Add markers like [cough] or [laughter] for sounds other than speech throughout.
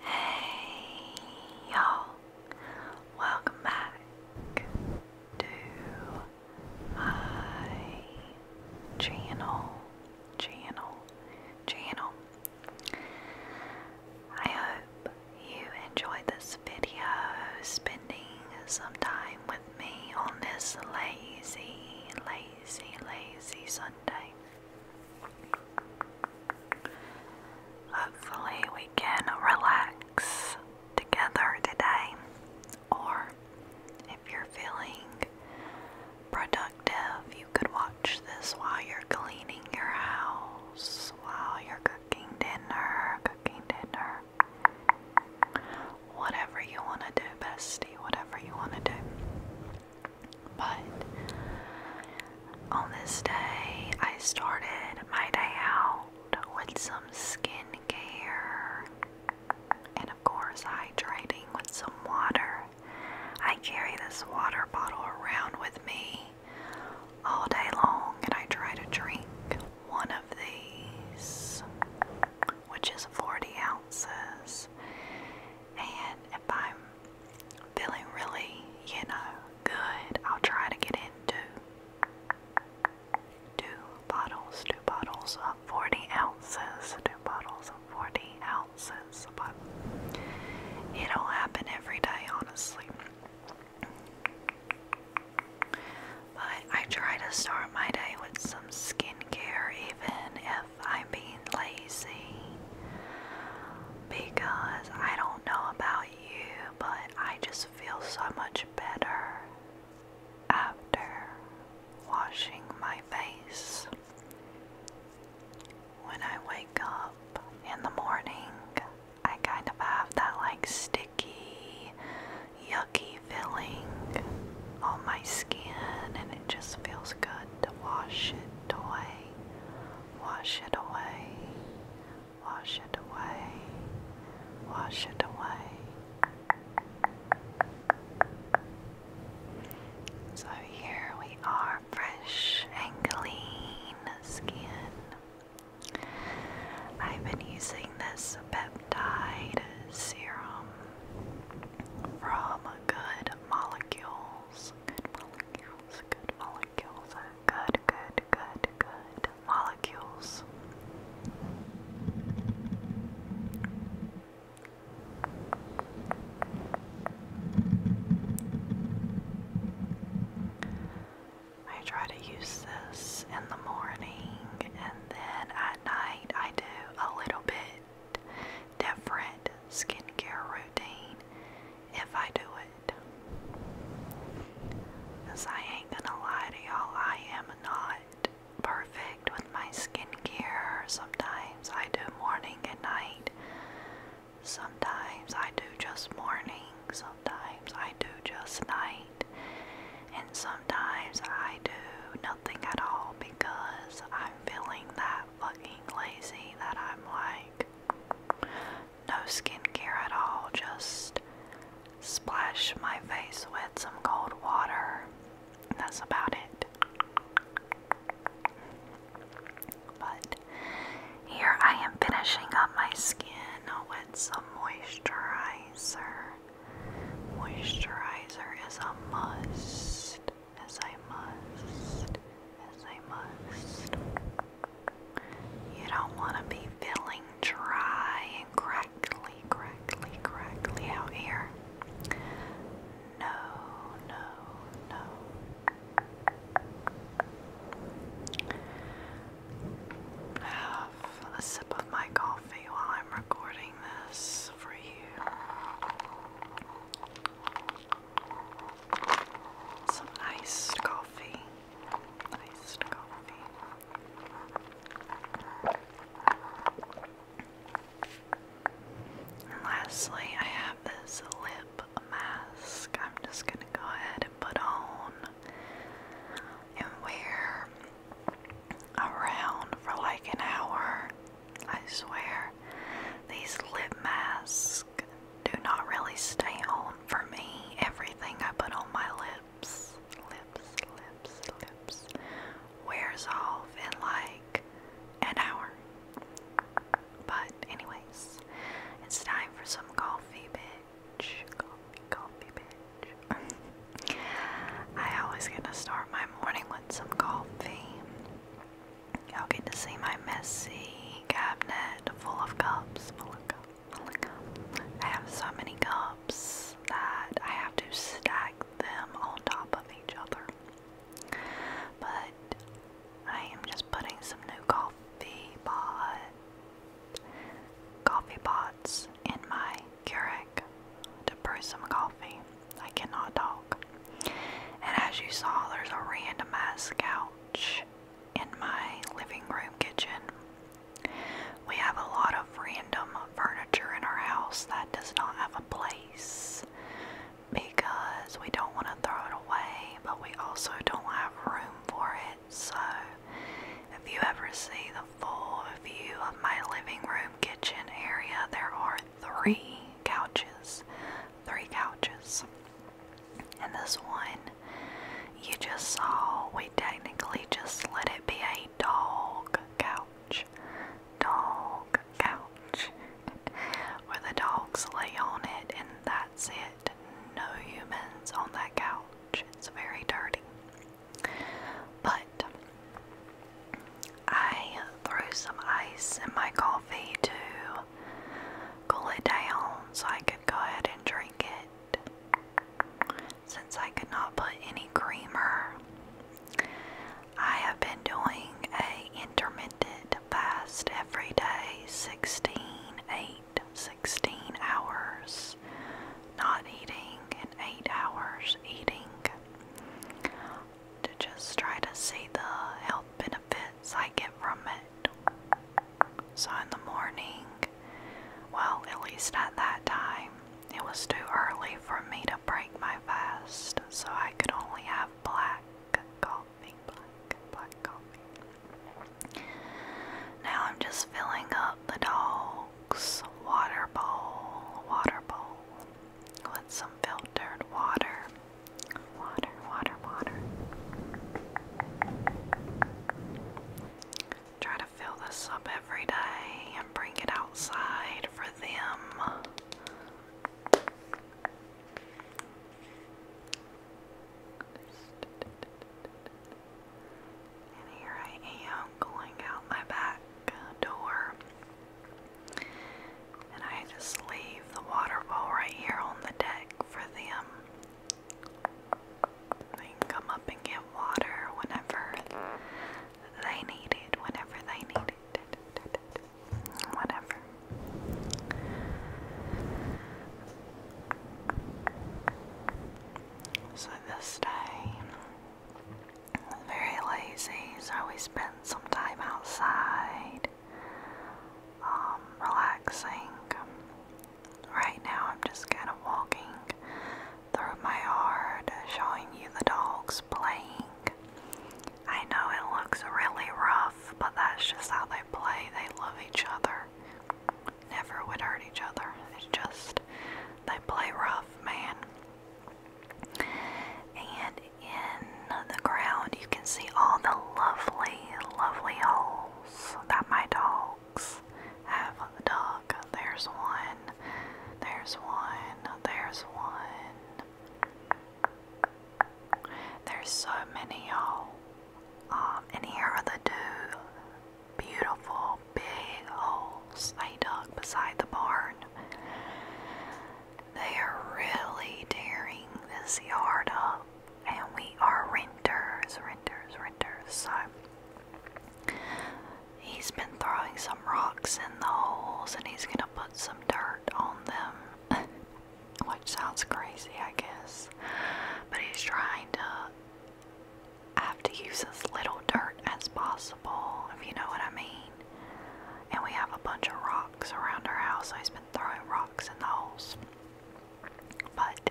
Hey y'all, welcome back to my channel, channel, channel. I hope you enjoyed this video, spending some time with me on this lazy, lazy lazy, lazy Sunday. Hopefully, we can relax together today, or if you're feeling productive, you could watch this while you're cleaning your house, while you're cooking dinner, cooking dinner, whatever you want to do, bestie, whatever you want to do. But on this day, I started my day out with some skincare and, of course, hydrating with some water. I carry this water bottle around with me all day long, and I try to drink one of these, which is 40 ounce ounces. And if I'm feeling really, you know, good, I'll try to get into two, bottles, two bottles of 40 ounces, two bottles of 40 ounces. But it will happen every day, honestly. But I try to start my day with some skincare, even if I'm being lazy because I don't know about you, but I just feel so much better after washing my face. When I wake up in the morning, I kind of have that like sticky, yucky filling on my skin, and it just feels good to wash it away, wash it away, wash it away, wash it away. So here we are, fresh and clean skin. I've been using this peptide serum from good molecules. Good molecules, good molecules, good, good, good, good molecules. I try to use this in the morning and then at night I do a little bit different skincare routine if I do it. Because I ain't gonna lie to y'all, I am not perfect with my skincare. Sometimes I do morning and night. Sometimes I do just morning. Sometimes I do just night and sometimes I do nothing at all because I'm feeling that fucking lazy that I'm like no skincare at all, just splash my face with some cold water. That's about it. But here I am finishing up my skin with some moisturizer. Moisturizer is a must, as I must, as I must. You don't want to be feeling dry and crackly, crackly, crackly out here. No, no, no. Have a sip of my coffee while I'm recording. Some iced coffee. lastly, I have this lip mask. I'm just gonna go ahead and put on and wear around for like an hour. I swear, these lip masks do not really stay on for me. Everything I put on my lips, lips, lips, lips, wears off in like an hour. But, anyways, it's time for some coffee, bitch. Coffee, coffee, bitch. I always get to start my morning with some coffee. Y'all get to see my messy cabinet full of cups, full of I have so many cups that I have to stack them on top of each other. But I am just putting some new coffee pot coffee pots in my Keurig to brew some coffee. I cannot talk. And as you saw, there's a randomized couch in my living room kitchen. We have a lot of random furniture in our house that does not have a place because we don't want to throw it away, but we also don't have room for it. So, if you ever see the full view of my living room kitchen area, there are three couches. Three couches. And this one you just saw, we technically just let it be a dog couch. Dog couch. [laughs] Where the dogs lay on it and that's it. No humans on that couch. It's very dirty. But I threw some ice in my coffee to cool it down so I could go ahead and drink it. Since I could not put any creamer, I have been doing a intermittent fast every day 16, 8, 16 hours, not eating, and 8 hours eating to just try to see the health benefits I get from it. So in the morning, well, at least at that time, it was too early for me to break my fast, so I could only have black coffee, Now I'm just filling up the doll rocks, water bowl, water bowl with some filtered water. Water, water, water. Try to fill this up every day and bring it outside for them. And here I am going out my back door. And I just leave the waterfall right here on the deck for them. They come up and get water whenever they need it, whenever they need it. Whatever. So this day very lazy, so we spend some time outside um, relaxing. Right now, I'm just kind of walking through my yard, showing you the dogs playing. I know it looks really rough, but that's just how they play. They love each other, never would hurt each other. It's just, they play rough, man. And in the ground, you can see all the lovely, lovely holes that my dogs have dug. There's one, there's one, there's one. There's so many, y'all. Um, and here are the two beautiful big holes they dug beside the barn. They are really tearing this yard up, and we are renters, renters, renters. So he's been throwing some rocks in the holes, and he's gonna put some dirt on them, [laughs] which sounds crazy, I guess. But he's trying to I have to use as little dirt as possible, if you know what I mean. And we have a bunch of rocks around our house. I've been throwing rocks in the holes. But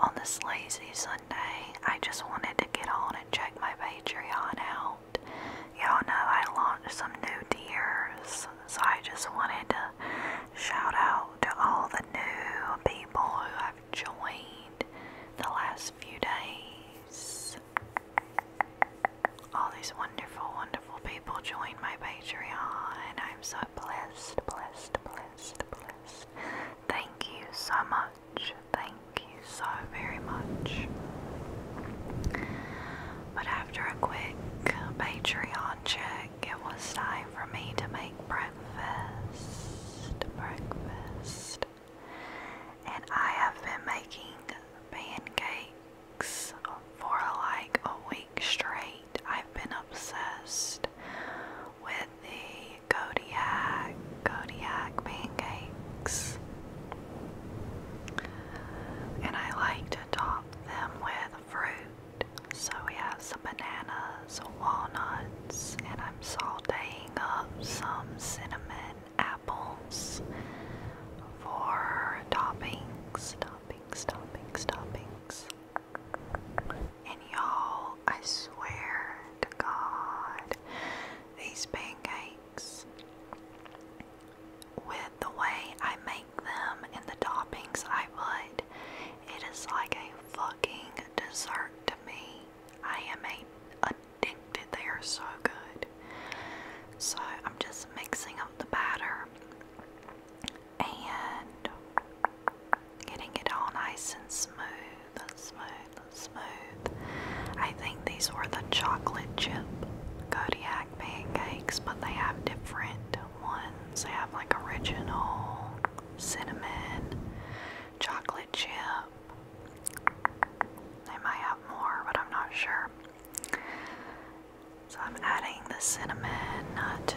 on this lazy Sunday, I just wanted to get on and check my Patreon out. Y'all know I launched some new tiers, so I just wanted to shout out to all the new people who have joined the last few days. All these wonderful, wonderful people join my Patreon. I'm so blessed, blessed, blessed, blessed. Thank you so much. Thank you so very much. But after a quick Patreon check, it was time for me to make breakfast. Breakfast and I have been making pancakes for like a week straight. I've been obsessed with the Kodiak, Kodiak pancakes. And I like to top them with fruit. So we have some bananas, walnuts, and I'm salting sauteing up some cinnamon apples for toppings, toppings, toppings, toppings. And y'all, I swear to God, these pancakes, with the way I make them and the toppings I put, it is like a fucking dessert to me. I am a addicted. They are so good. So I'm just mixing up the batter and getting it all nice and smooth smooth smooth. I think these were the chocolate chip Kodiak pancakes, but they have different ones. They have like original cinnamon chocolate chip they might have more, but I'm not sure. So I'm adding the cinnamon uh, to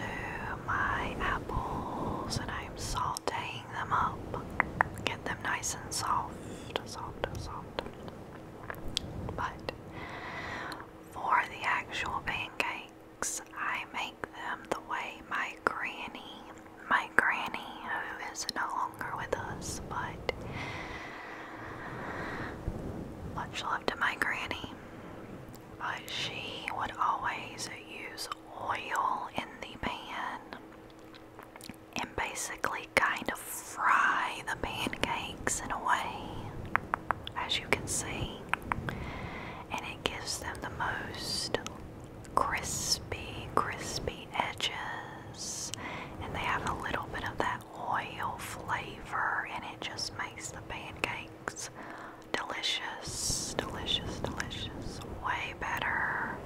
my apples and I'm sauteing them up. Get them nice and soft, soft, soft. But for the actual pancakes, I make them the way my granny my granny, who is no longer with us, but much love to my granny. But she would always use oil in the pan and basically kind of fry the pancakes in a way, as you can see, and it gives them the most crispy, crispy edges, and they have a little bit of that oil flavor, and it just makes the pancakes delicious, delicious, delicious. Way better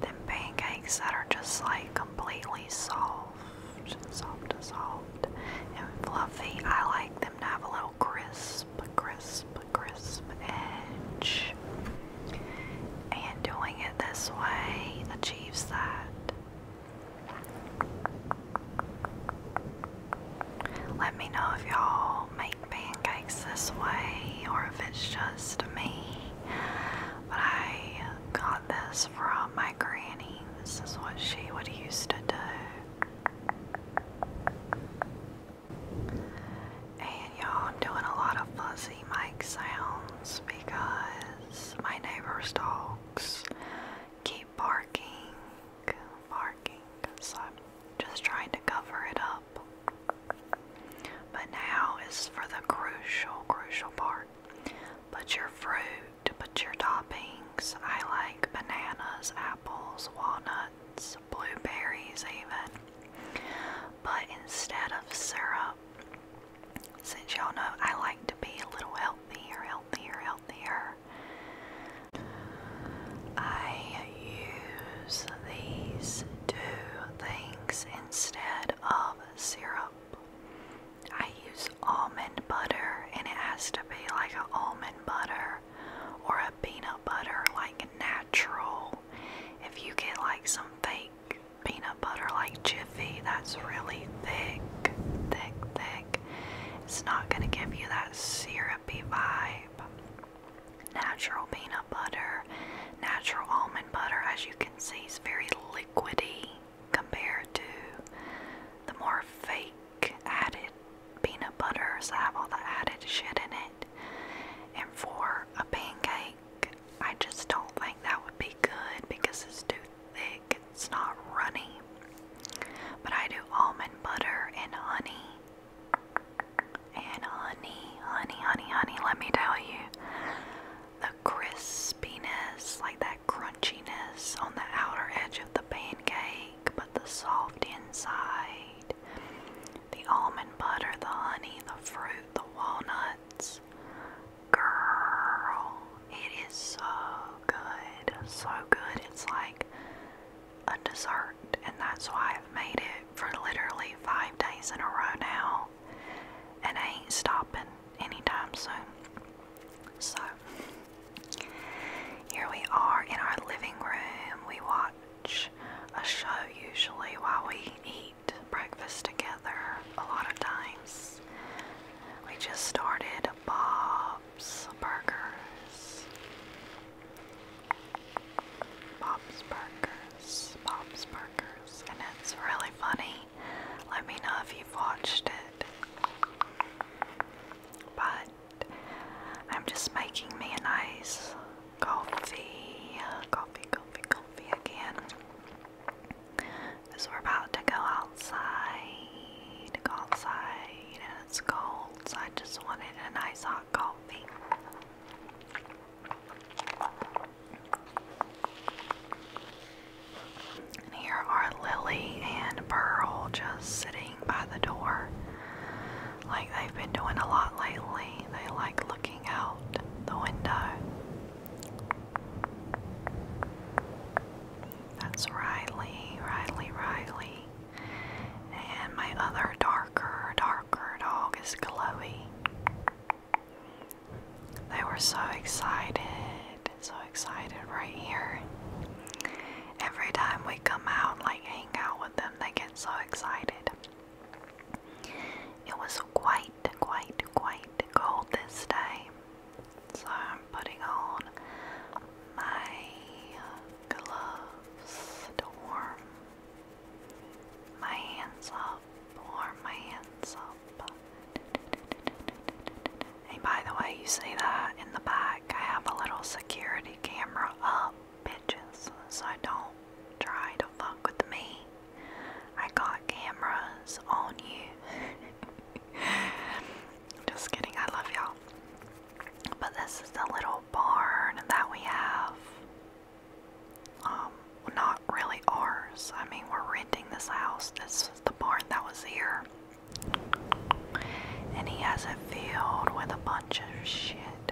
than pancakes that are just like completely soft, soft, soft, and fluffy. I like them to have a little crisp, crisp crisp edge. And doing it this way achieves that. Let me know if y'all make pancakes this way or if it's just me. But I got this from my granny. This is what she would used to do. And y'all, I'm doing a lot of fuzzy mic sounds because my neighbor's dogs keep barking, barking. So I'm just trying to cover it up. But now is for the crucial, crucial part. Put your fruit, put your toppings. I like bananas, apples, walnuts, blueberries, even. But instead of syrup, since y'all know I like to be a little healthier, healthier, healthier, I use these two things instead of syrup. I use almond butter, and it has to be like an almond butter or a peanut butter, like natural if you get like some fake peanut butter like Jiffy that's really thick, thick, thick, it's not going to give you that syrupy vibe. Natural peanut butter, natural almond butter, as you can see, is very liquidy compared to the more fake added peanut butters that have all the added shit in it. And for a pancake, I just don't think that would be good because it's too thick, it's not runny. But I do almond butter and honey. And honey, honey, honey, honey, let me tell you. The crispiness, like that crunchiness on the outer edge of the pancake, but the soft inside the almond butter, the honey, the fruit, the walnuts. Girl, it is so good, so good. It's like a dessert, and that's why I've made it for literally five days in a row now, and I ain't stopping anytime soon. So, here we are in our living room. We watched watch a show usually while we eat breakfast together a lot of times. We just started Bob's Burgers. Bob's Burgers. Bob's Burgers. And it's really funny. Let me know if you've watched it. But I'm just making me nice coffee, coffee, coffee, coffee again. Because we're about to go outside, go outside, and it's cold, so I just wanted a nice hot coffee. And here are Lily and Pearl just sitting by the door. Like they've been doing a lot lately. They like looking out the window. That's Riley, Riley, Riley. And my other darker, darker dog is Chloe. They were so excited, so excited right here. Every time we come out, like hang out with them, they get so excited. It was quite, quite, quite cold this day, so I'm putting on my gloves to warm my hands up, warm my hands up. And by the way, you see that in the back, I have a little security camera up bitches, so don't try to fuck with me. I got cameras on you. [laughs] Just kidding, I love y'all. But this is the little barn that we have. Um, not really ours. I mean, we're renting this house. This is the barn that was here. And he has a field with a bunch of shit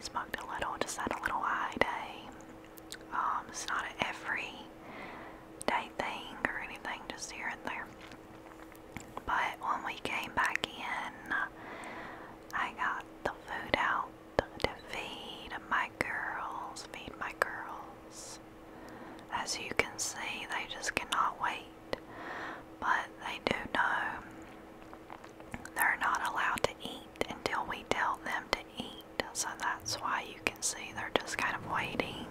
smoked a little, just had a little eye day. Um, it's not an every day thing or anything, just here and there. But when we came back in, I got the food out to feed my girls, feed my girls. As you can see, they just cannot wait. But they do know they're not allowed to eat until we tell them to eat, so that's why you can see they're just kind of waiting.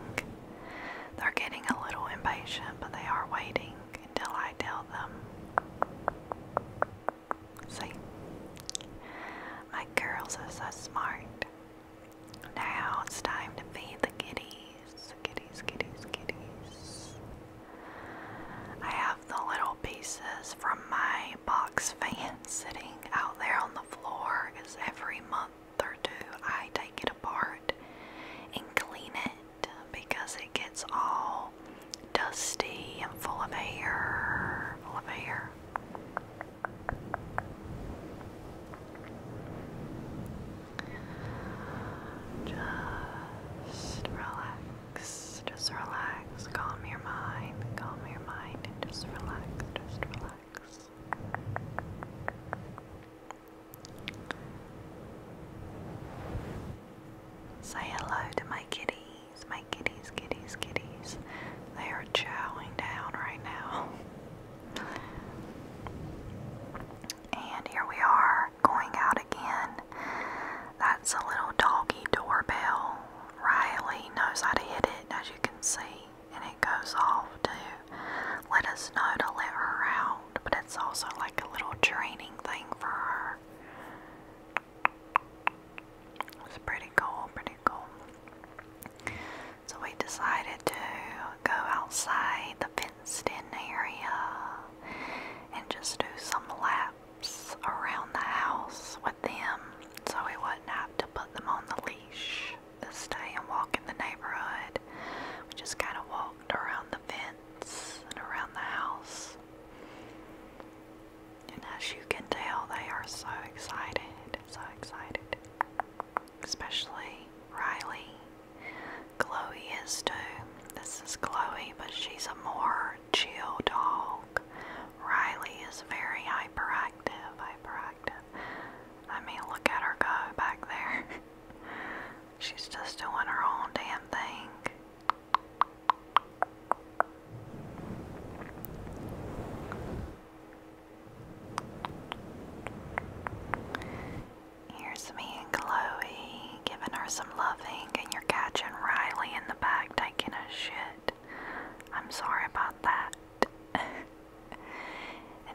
They're getting a little impatient, but they are waiting until I tell them. See? My girls are so smart. Now it's time to feed the kiddies. Kitties, kitties, kitties. I have the little pieces from my box fan [laughs] sitting out there on the floor because every month or two I take it apart and clean it because it gets all dusty and full of air. Full of air. Just relax just relax, calm your mind, calm your mind, and just relax, just relax. Say hello to my kitties, my kitties, kitties, kitties. They are chowing down right now. [laughs] And here we are going out again. That's a little doggy doorbell. Riley knows how to hit it, as you can see, and it goes off to let us know to let her out, but it's also like a little training thing for her. It's pretty cool, pretty cool. So we decided to go outside the fenced in area and just do some laps around the house with them so he wouldn't have to put them on the leash this day and walk in the neighborhood. We just kind of walked around the fence and around the house. And as you can tell, they are so excited, so excited. Especially Riley. Chloe is too. This is Chloe, but she's a more chill dog. Riley is very hyperactive, hyperactive. I mean, look at her go back there. [laughs] She's just doing her own damn thing. Here's me and Chloe giving her some loving, and you're catching Riley in the back taking a shit. I'm sorry about that. [laughs] and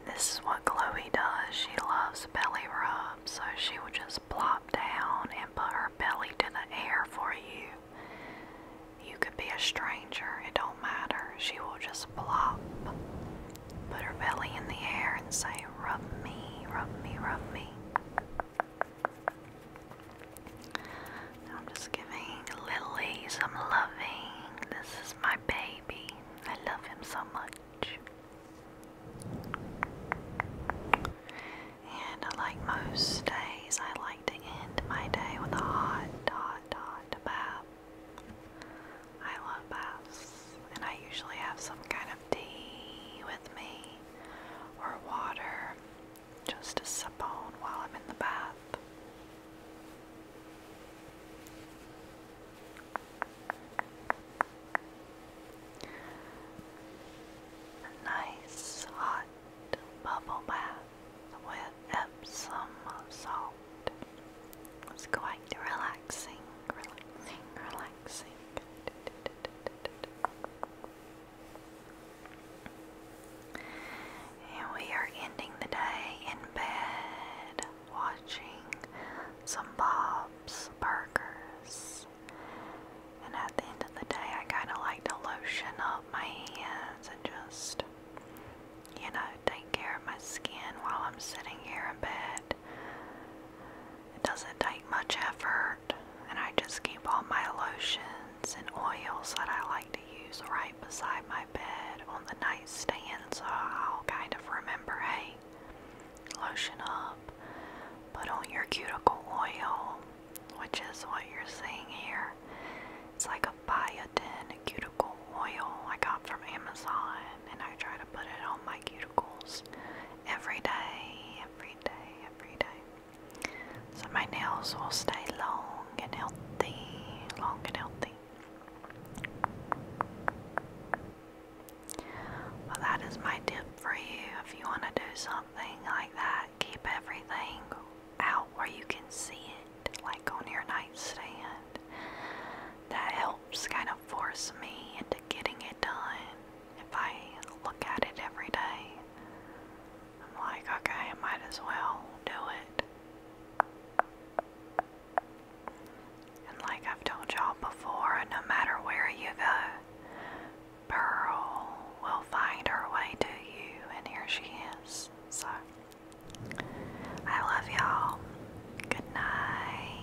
this is what Chloe does. She loves belly rubs, so she will just plop down and put her belly to the air for you. You could be a stranger, it don't matter. She will just plop, put her belly in the air and say, Rub me, rub me, rub me. I'm just giving Lily some loving. This is my baby. I love him so much. And like most days, I like to end my day with a hot, hot, hot bath. I love baths, and I usually have some kind of tea with me or water just a sip on while I'm in the bath. nice hot bubble bath with Epsom salt was going relaxing, relaxing, relaxing. And we are ending the day in bed watching some Bob's Burgers. And at the end of the day, I kind of like to lotion up my hands and just, you know, take care of my skin while I'm sitting here in bed. It doesn't take much effort and I just keep all my lotions and oils that I like to use right beside my bed on the nightstands, so I'll kind of remember, hey, lotion up, put on your cuticle oil, which is what you're seeing here. It's like a biotin cuticle oil I got from Amazon and I try to put it on my cuticles every day, every day, every day. So my nails will stay long and healthy, long and healthy. Well, that is my tip for you. If you want to do something like that, keep everything out where you can see it, like on your nightstand. That helps kind of force me into getting it done if I look at it every day, I'm like, okay, I might as well do it. And like I've told y'all before, no matter where you go, Pearl will find her way to you, and here she is. So, I love y'all. Good night.